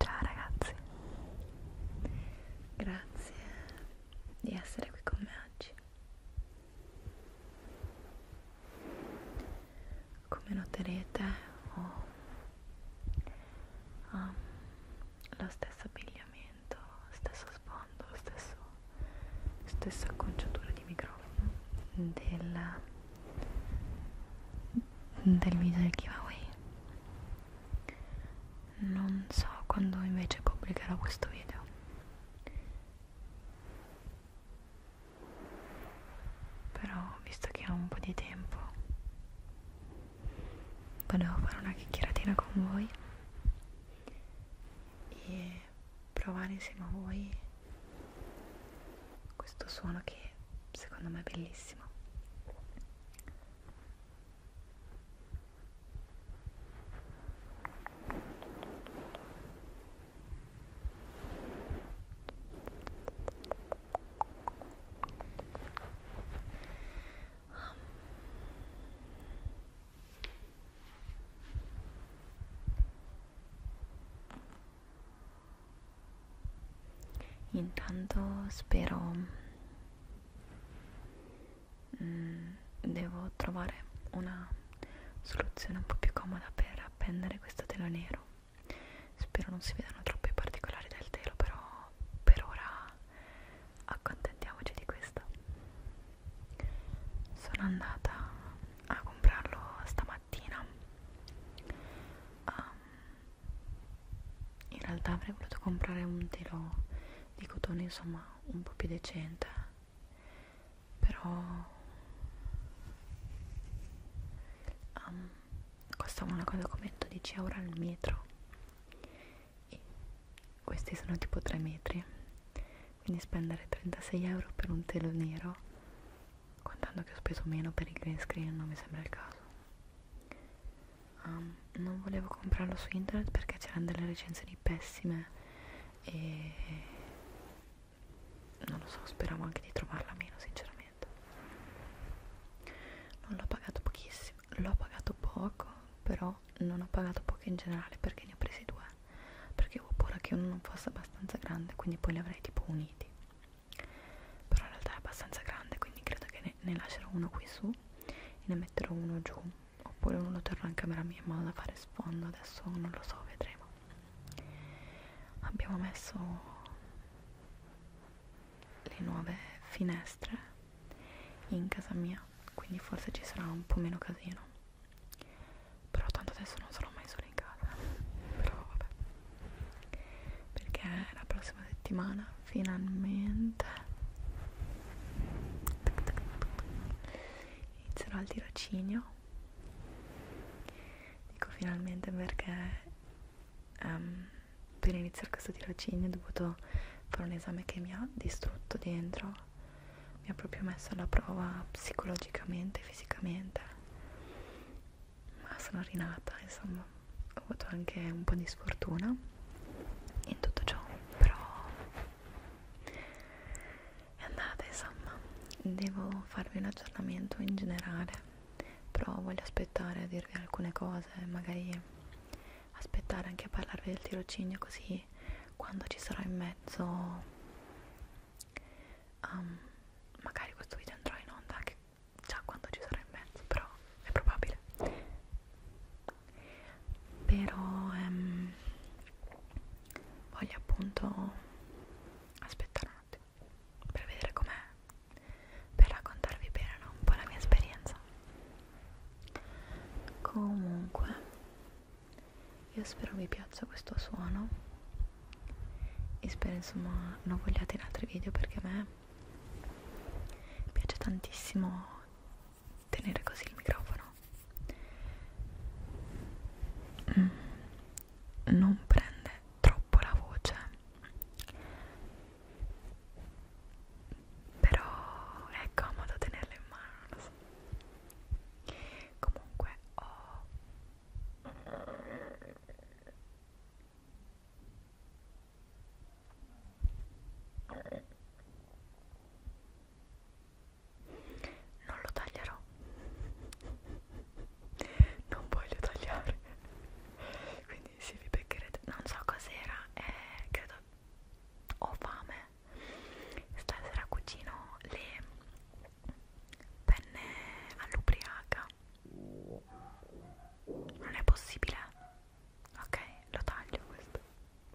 Ciao ragazzi, grazie di essere qui con me oggi. Come noterete ho, ho lo stesso abbigliamento cambiamento, stesso sfondo, stesso, stessa acconciatura di microfono del, del video del giveaway non so quando invece pubblicherò questo video però visto che ho un po' di tempo volevo fare una chiacchieratina con voi e provare insieme a voi questo suono che secondo me è bellissimo. Intanto spero mm, devo trovare una soluzione un po' più comoda per appendere questo telo nero. Spero non si vedano troppi particolari del telo, però per ora accontentiamoci di questo sono andata a comprarlo stamattina um, in realtà avrei voluto comprare un telo di cotone insomma un po' più decente però um, costava una cosa come 12 euro al metro e questi sono tipo 3 metri quindi spendere 36 euro per un telo nero contando che ho speso meno per il green screen non mi sembra il caso um, non volevo comprarlo su internet perché c'erano delle recensioni pessime e non lo so speravo anche di trovarla meno sinceramente non l'ho pagato pochissimo l'ho pagato poco però non ho pagato poco in generale perché ne ho presi due perché avevo paura che uno non fosse abbastanza grande quindi poi li avrei tipo uniti però in realtà è abbastanza grande quindi credo che ne, ne lascerò uno qui su e ne metterò uno giù oppure uno terrò in camera mia ma da fare sfondo adesso non lo so vedremo abbiamo messo le nuove finestre in casa mia quindi forse ci sarà un po' meno casino però tanto adesso non sarò mai sola in casa però vabbè perché la prossima settimana finalmente inizierò il tirocinio dico finalmente perché um, per iniziare questo tirocinio ho dovuto fare un esame che mi ha distrutto dentro mi ha proprio messo alla prova psicologicamente, fisicamente, ma sono rinata, insomma, ho avuto anche un po' di sfortuna in tutto ciò, però è andata, insomma, devo farvi un aggiornamento in generale, però voglio aspettare a dirvi alcune cose, magari aspettare anche a parlarvi del tirocinio così poi quando ci sarò in mezzo um, magari questo video andrò in onda anche già quando ci sarò in mezzo però è probabile però um, voglio appunto aspettare un attimo per vedere com'è per raccontarvi bene no? un po' la mia esperienza comunque io spero vi piaccia questo suono e spero insomma non vogliate in altri video perché a me piace tantissimo tenere così il microfono mm, non prende troppo la voce però è comodo tenerlo in mano, non lo so. Comunque ho non lo taglierò non voglio tagliare quindi se vi beccherete non so cos'era eh, credo ho fame Stasera cucino le penne all'ubriaca. Non è possibile? Ok, lo taglio questo.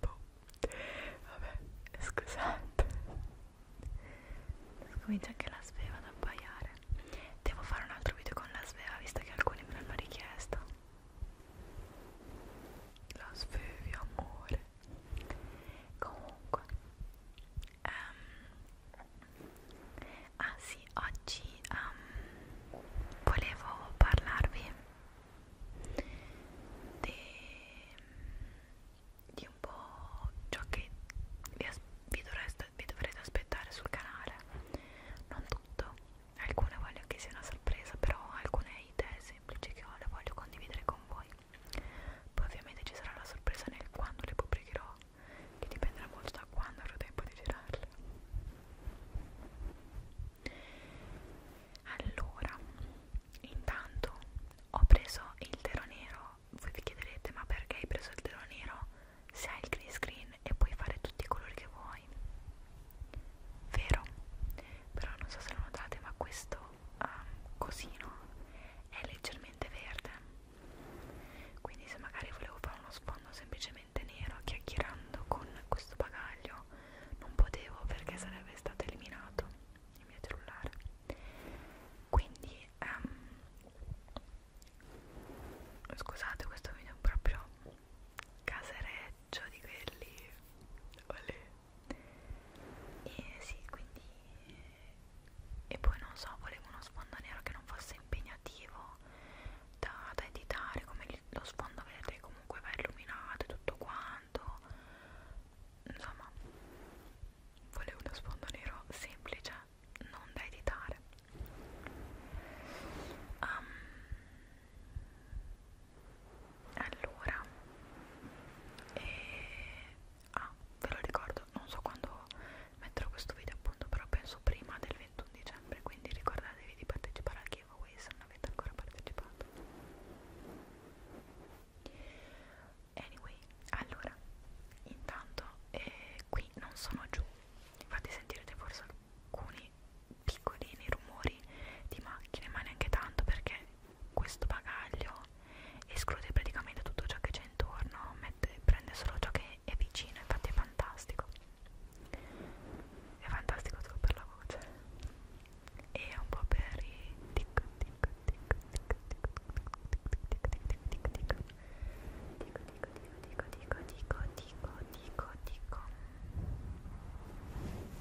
Boh. Vabbè, scusate. Comincia anche la sveva ad abbaiare. Devo fare un altro video con la sveva, visto che alcuni me l'hanno richiesto. La svevi, amore comunque um, ah sì oggi um, volevo parlarvi de, di un po' ciò che vi, vi, dovreste, vi dovrete aspettare sul canale non tutto alcune voglio che sia una sorpresa però alcune idee semplici che ho le voglio condividere con voi poi ovviamente ci sarà la sorpresa nel quando le pubblicherò che dipenderà molto da quando avrò tempo di girarle allora intanto ho preso il tero nero voi vi chiederete ma perché hai preso il tero nero se hai il green screen e puoi fare tutti i colori che vuoi vero però non so se lo notate ma questo um, cosino è leggermente verde quindi se magari volevo fare uno sfondo semplicemente nero chiacchierando con questo bagaglio non potevo perché sarebbe stato eliminato il mio cellulare quindi um, scusate questo video è proprio casereccio di quelli olè e sì quindi e poi non so volevo uno sfondo nero che non fosse impegnativo da, da editare come lo sfondo vedete comunque va illuminato e tutto quanto insomma volevo uno sfondo nero semplice non da editare um, allora e... ah ve lo ricordo non so quando metterò questo video appunto però penso prima del 21 dicembre quindi ricordatevi di partecipare al giveaway se non avete ancora partecipato anyway allora intanto eh, qui non sono giù infatti sentirete forse alcuni piccolini rumori di macchine ma neanche tanto perché questo bagaglio esclude praticamente tutto ciò che c'è intorno, mette, prende solo ciò che è vicino, infatti è fantastico. È fantastico solo per la voce e un po' per i tic tic tic tic tic tic tic tic Dico, dico, dico, dico, dico, dico, dico, dico, dico.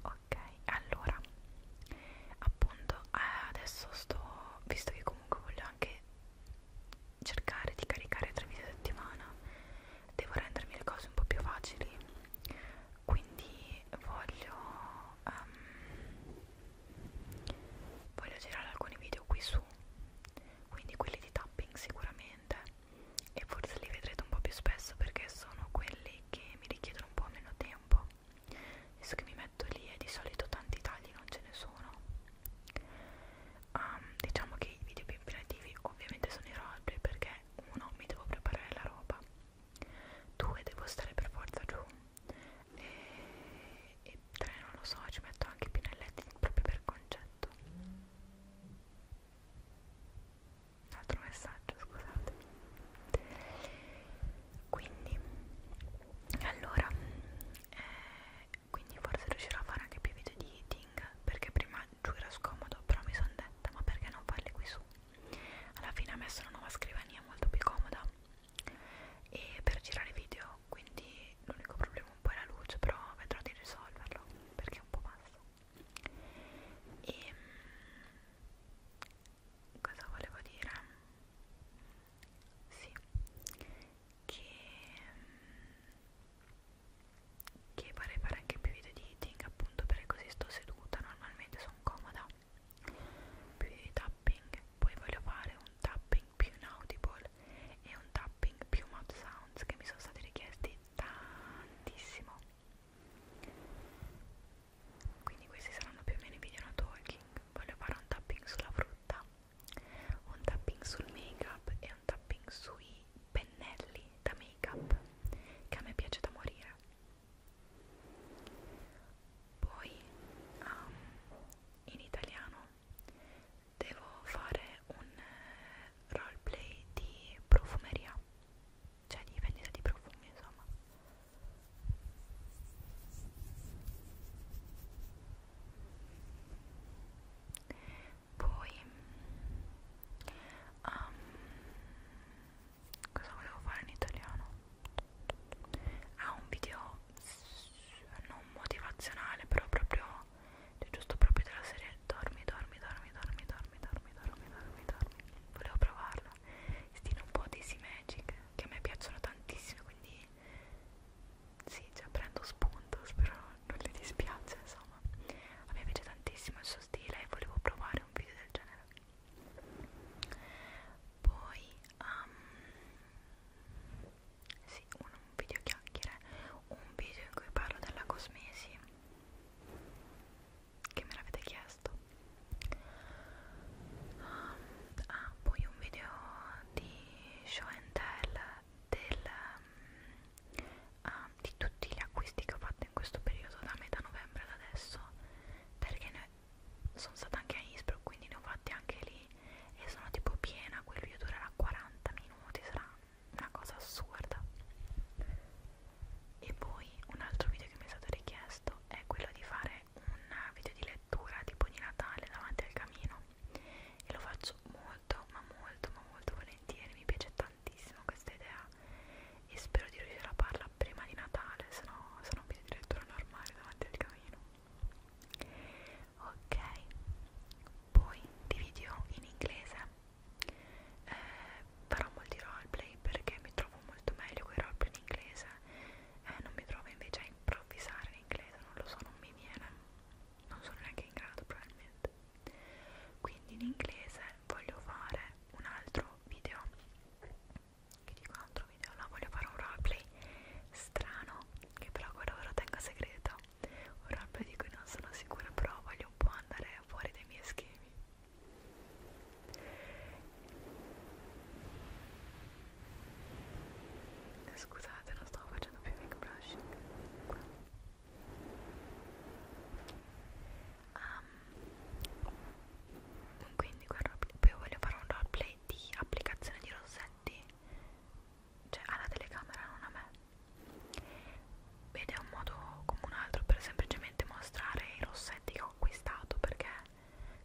ok allora appunto adesso sto visto che comunque voglio anche cercare di caricare tre video a settimana devo rendermi le cose un po' più facili quindi voglio um, voglio girare alcuni video qui su quindi quelli di tapping sicuramente e forse li vedrete un po' più spesso perché sono quelli che mi richiedono un po' meno tempo adesso che mi metto lì e di solito tanti tagli non ce ne sono um, diciamo che i video più impegnativi ovviamente sono i roleplay perché uno mi devo preparare la roba due devo stare per forza giù e, e tre non lo so, ci metto anche i pennelletti proprio per concetto un altro messaggio, scusate quindi allora eh, quindi forse riuscirò a fare anche più video di eating perché prima giù era scomodo però mi sono detta ma perché non farli qui su alla fine ha messo una nuova scrivania molto più comoda e per girare video quindi l'unico problema un po' è la luce però vedrò di risolverlo perché è un po' bassa e ehm, cosa volevo dire sì che che vorrei fare anche più video di eating appunto perché così sto seduta normalmente sono comoda più di tapping poi voglio fare un tapping più inaudible e un tapping più mouth sounds che mi sono stati richiesti tantissimo quindi questi saranno più o meno i video no talking voglio fare un tapping sulla frutta un tapping sul make up e un tapping sui pennelli da make up che a me piace da morire poi um, in italiano devo fare un eh, roleplay di profumeria cioè di vendita di profumi insomma poi um, cosa volevo fare in italiano? Ah, un video non motivazionale però proprio cioè giusto proprio della serie dormi dormi dormi dormi dormi dormi dormi dormi dormi volevo provarla stile un po' di Sea Magic che a me piacciono tantissimo quindi sì cioè prendo spunto spero non le dispiace insomma a me piace tantissimo il suo stile e volevo provare un video del genere poi um, sì, un, un video chiacchiere, un video in cui parlo della cosmesi che me l'avete chiesto um, ah, poi un video di show and tell del, um, ah, di tutti gli acquisti che ho fatto in questo periodo da metà novembre ad adesso perché ne sono stata anche a Innsbruck quindi ne ho fatti anche lì lì e sono tipo piena, quel video durerà 40 minuti, sarà una cosa assurda. E poi un altro video che mi è stato richiesto è quello di fare un video di lettura tipo di Natale davanti al camino e lo faccio molto ma molto ma molto volentieri, mi piace tantissimo questa idea e spero di riuscire a farla prima di Natale, se no sarà un video di lettura normale davanti al camino ok poi di video in inglese eh, farò molti roleplay perché mi trovo molto meglio con i roleplay in inglese eh, non mi trovo invece a improvvisare in inglese non lo so non mi viene non sono neanche in grado probabilmente quindi in inglese voglio fare un altro video che dico un altro video no voglio fare un roleplay strano che però quello ve lo tengo segreto un roleplay di cui non sono sicura però voglio un po' andare fuori dai miei schemi eh, scusate non stavo facendo più make brushing um, quindi quel roleplay, poi voglio fare un roleplay di applicazione di rossetti cioè alla telecamera non a me ed è un modo come un altro per semplicemente mostrare i rossetti che ho acquistato perché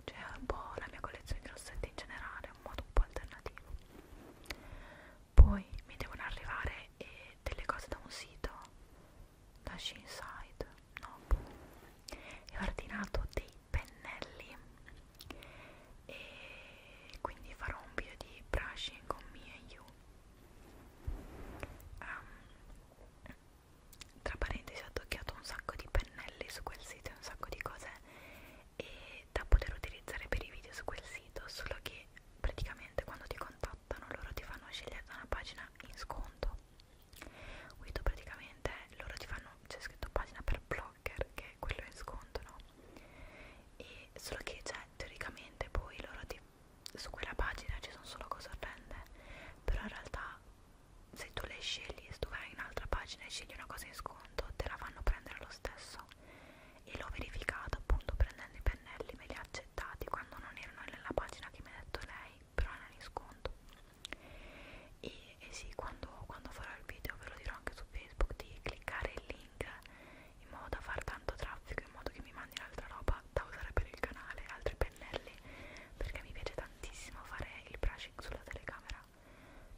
cioè un po' la mia collezione di rossetti in generale è un modo un po' alternativo poi mi devono arrivare eh, delle cose da un sito da Shinside no boh, ho ordinato dei pennelli e quindi farò un video di brushing con me e you um, tra parentesi ho toccato un sacco di pennelli su quel sito un sacco di cose e da poter utilizzare per i video su quel sito solo che praticamente quando ti contattano loro ti fanno scegliere da una pagina in sconto quindi praticamente loro ti fanno c'è scritto pagina per blog Locker, che quello è in sconto, no? E solo che, cioè, teoricamente poi loro ti, su quella pagina ci sono solo cose orrende, però in realtà se tu le scegli, se tu vai in un'altra pagina e scegli una cosa in sconto, te la fanno prendere lo stesso. E l'ho verificato appunto prendendo i pennelli, me li ha accettati quando non erano nella pagina che mi ha detto lei, però erano in sconto. E, e sì, quando, quando farò il video ve lo dirò anche su Facebook di cliccare il link link in modo da far tanto traffico in modo che mi mandi l'altra roba da usare per il canale altri pennelli perché mi piace tantissimo fare il brushing sulla telecamera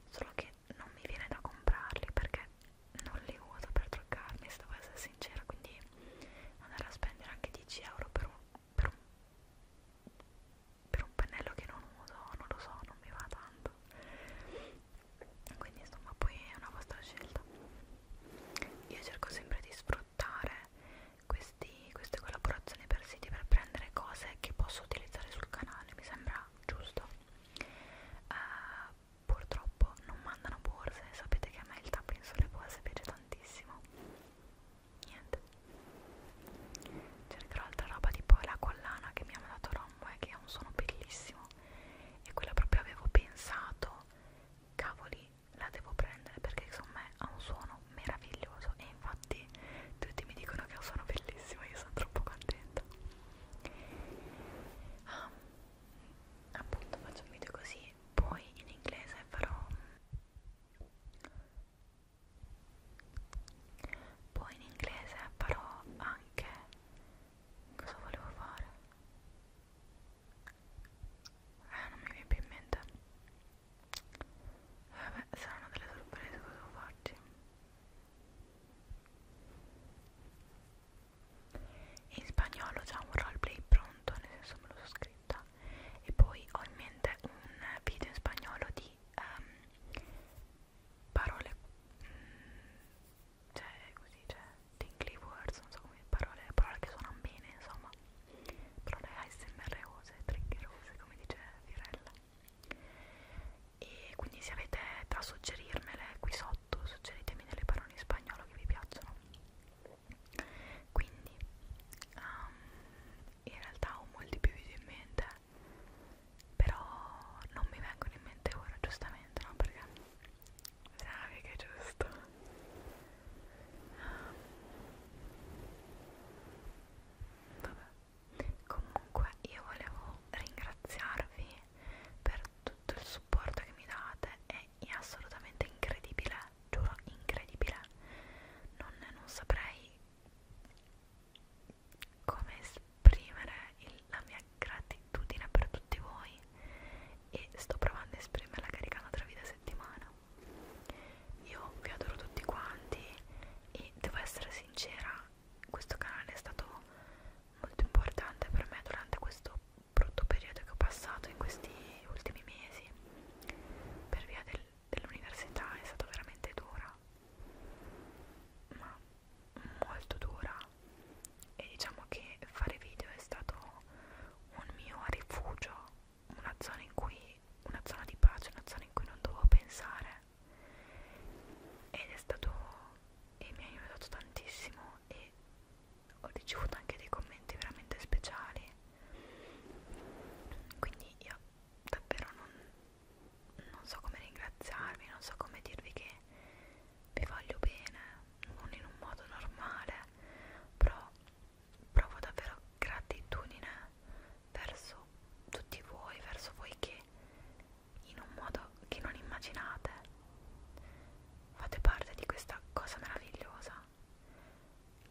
solo che non mi viene da comprarli perché non li uso per truccarmi se devo essere sincera quindi andare a spendere anche 10 euro per un, per un per un pennello che non uso non lo so non mi va tanto fatto quindi insomma poi è una vostra scelta io cerco sempre di sfruttare questi, queste collaborazioni per siti per prendere cose che posso utilizzare sul canale mi sembra giusto uh, purtroppo non mandano borse sapete che a me il tapping sulle borse piace tantissimo niente cercherò altra roba tipo la collana che mi ha mandato Rombo e che ha un suono bellissimo e quella proprio avevo pensato cavoli la devo prendere perché insomma ha un suono meraviglioso e infatti tutti mi dicono che ha un suono bellissimo io sono troppo contenta ah, appunto faccio un video così poi in inglese farò poi in inglese farò anche cosa volevo fare? Eh, non mi viene più in mente. Vabbè, eh, saranno delle sorprese cosa devo farci. In spagnolo c'è un roleplay pronto, nel senso me lo so scritta. E poi ho in mente un video in spagnolo di um, parole. Mm, cioè così, cioè tingly words, non so come parole, parole che suonano bene, insomma, parole ASMR-ose, triggerose, come dice Fiorella. E quindi se avete da suggerirmele qui sotto, suggeritemi delle parole in spagnolo che vi piacciono. Quindi, um, in realtà ho molti più video in mente però non mi vengono in mente ora giustamente no perché sai che è giusto vabbè comunque io volevo ringraziarvi per tutto il supporto che mi date è assolutamente incredibile giuro incredibile non, non saprei come esprimere il, la mia gratitudine per tutti voi e sto provando a esprimerla caricando tre video a settimana io vi adoro tutti quanti e devo essere sincera questo canale è stato molto importante per me durante questo brutto periodo che ho passato in questi ultimi mesi per via del, dell'università è stato veramente dura ma molto dura e diciamo che fare video è stato un mio rifugio, una zona in cui una zona di pace, una zona in cui non dovevo pensare ed è stato e mi ha aiutato tantissimo e ho ricevuto anche dei commenti veramente speciali quindi io davvero non non so come ringraziarvi, non so come dirvi che vi voglio bene, non in un modo normale, però provo davvero gratitudine verso tutti voi, verso voi che in un modo che non immaginate fate parte di questa cosa meravigliosa.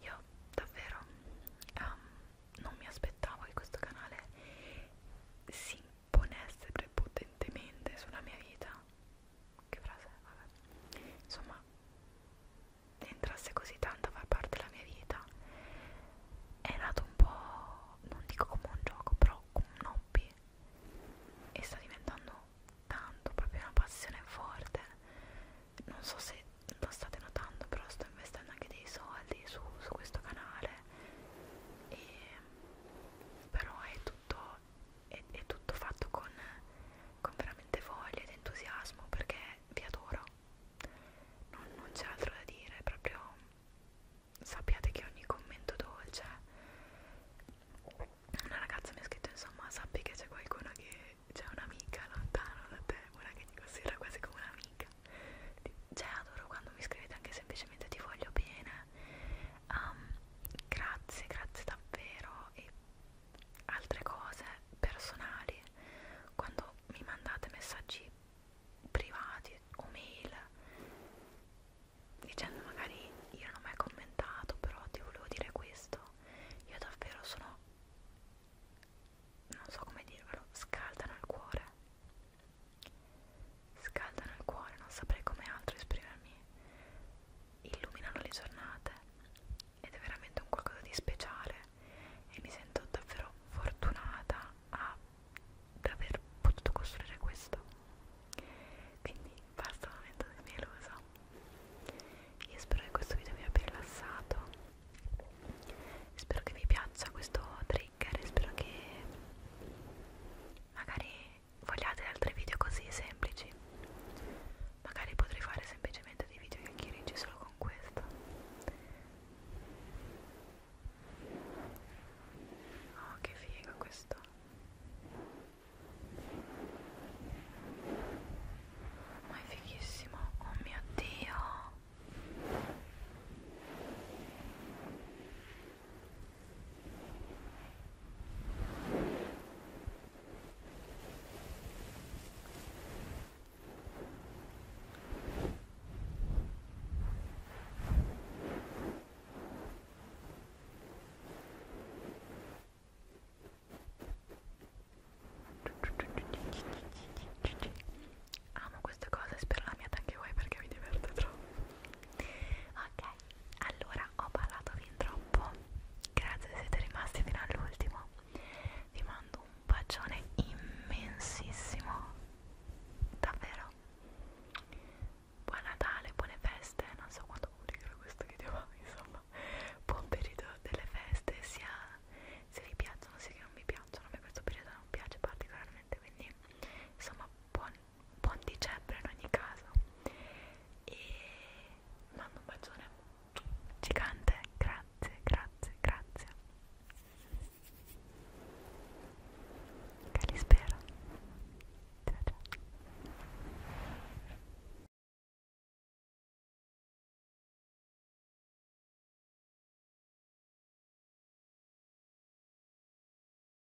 Io davvero um, non mi aspettavo che questo canale si ponesse prepotentemente sulla mia vita che frase, vabbè insomma entrasse così tanto a far parte della mia vita è nato un po' non dico come un gioco però come un hobby e sta diventando tanto proprio una passione forte non so se lo state notando però sto investendo anche dei soldi su, su questo canale e però è tutto, è, è tutto fatto con, con veramente voglia ed entusiasmo perché vi adoro non, non c'è altro da dire proprio sappiate che ogni commento dolce una ragazza mi ha scritto insomma sappi che c'è qualcuno che c'è un'amica lontano da te una che ti considera quasi come un'amica cioè adoro quando mi scrivete anche semplicemente ti voglio bene Um, grazie, grazie davvero e altre cose personali quando mi mandate messaggi privati o mail dicendo magari io non ho mai commentato però ti volevo dire questo io davvero sono non so come dirvelo scaldano il cuore Scaldano il cuore, non saprei come altro esprimermi. Illuminano le giornate ed è veramente un qualcosa di speciale e mi sento davvero fortunata ad aver potuto costruire questo. Quindi basta un momento di mia lusa. Io spero che questo video vi abbia rilassato. Spero che vi piaccia questo trigger, spero che magari vogliate altri video così semplici magari potrei fare semplicemente dei video chiacchiericci solo con questo oh che figo questo ma è fighissimo oh mio dio Amo queste cose, spero la mia anche voi perché mi diverte troppo. Ok, allora ho parlato fin troppo grazie se siete rimasti fino all'ultimo vi mando un bacione immensissimo davvero buon Natale buone feste non so quando pubblicherò questo video ma insomma buon periodo delle feste sia se vi piacciono sia che non vi piacciono a me questo periodo non piace particolarmente quindi insomma buon buon dicembre in ogni caso e mando un bacione gigante grazie grazie grazie che li spero ciao ciao